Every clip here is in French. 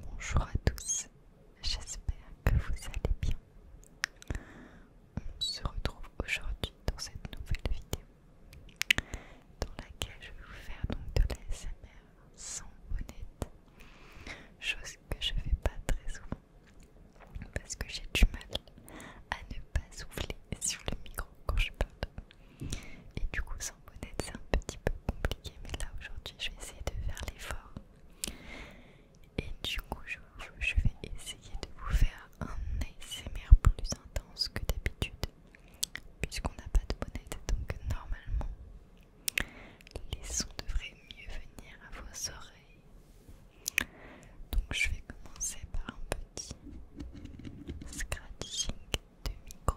Bonjour à tous, j'espère que vous allez bien. On se retrouve aujourd'hui dans cette nouvelle vidéo dans laquelle je vais vous faire donc de l'ASMR sans bonnette, chose que je fais pas très souvent parce que j'ai du mal à ne pas souffler sur le micro quand je parle. Et du coup, sans bonnet c'est un petit peu compliqué, mais là aujourd'hui, je vais essayer de faire l'effort. Et du coup, je, vais essayer de vous faire un ASMR plus intense que d'habitude, puisqu'on n'a pas de bonnet donc normalement, les sons devraient mieux venir à vos oreilles. Donc je vais commencer par un petit scratching de micro.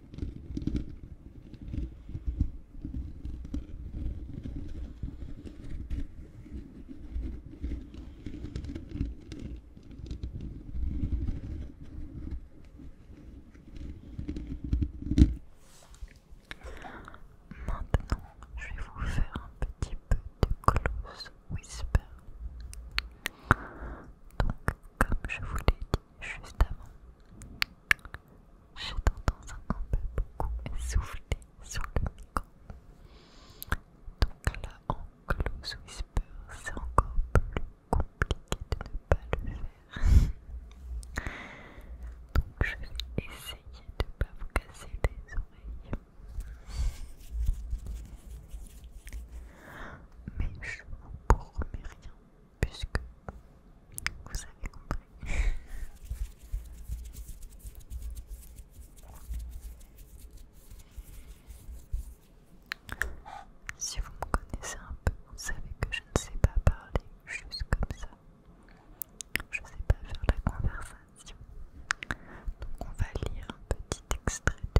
Maintenant, je vais vous faire un petit peu de close whisper. Donc, comme je vous l'ai dit juste avant, j'ai tendance à un peu beaucoup souffler sur le micro. Donc là, en close whisper, c'est encore plus compliqué de ne pas le faire. Donc je vais essayer de ne pas vous casser les oreilles mais je vous promets rien puisque vous avez compris. si vous me connaissez un peu, vous savez que je ne sais pas parler juste comme ça. Je ne sais pas faire la conversation. Donc on va lire un petit extrait de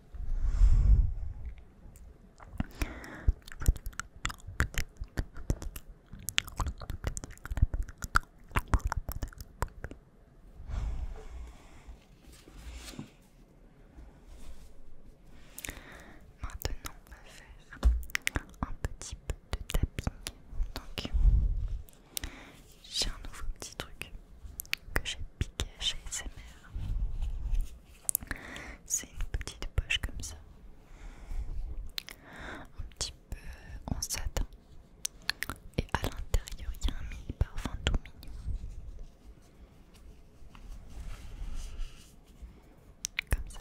Maintenant, on va faire un petit peu de tapping. J'ai un nouveau petit truc que j'ai piqué chez SMR. C'est une petite poche comme ça. Un petit peu en satin. Et à l'intérieur, il y a un mini parfum tout mignon. Comme ça.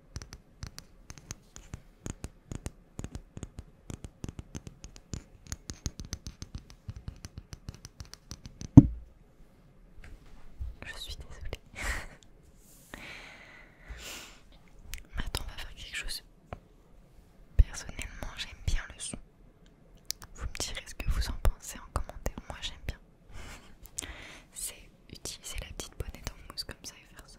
Je suis désolée. Maintenant on va faire quelque chose. Personnellement, j'aime bien le son. Vous me direz ce que vous en pensez en commentaire. Moi, j'aime bien. C'est utiliser la petite bonnette en mousse comme ça et faire ça.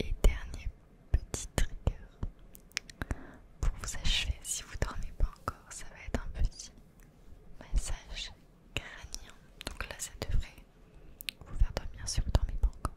Et dernier petit trigger pour vous achever, si vous dormez pas encore, ça va être un petit massage crânien. Donc là, ça devrait vous faire dormir si vous dormez pas encore.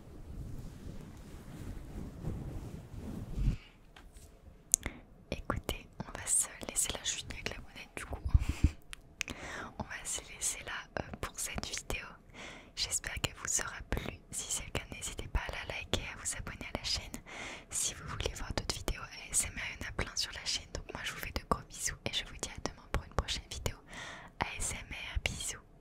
Écoutez, on va se laisser la je avec la monnaie du coup. on va se laisser là euh, pour cette vidéo. J'espère qu'elle vous aura plu. Si c'est le cas, n'hésitez pas à la liker, à vous abonner à la chaîne. Si vous voulez voir d'autres vidéos ASMR, il y en a plein sur la chaîne. Donc moi je vous fais de gros bisous et je vous dis à demain pour une prochaine vidéo ASMR. Bisous,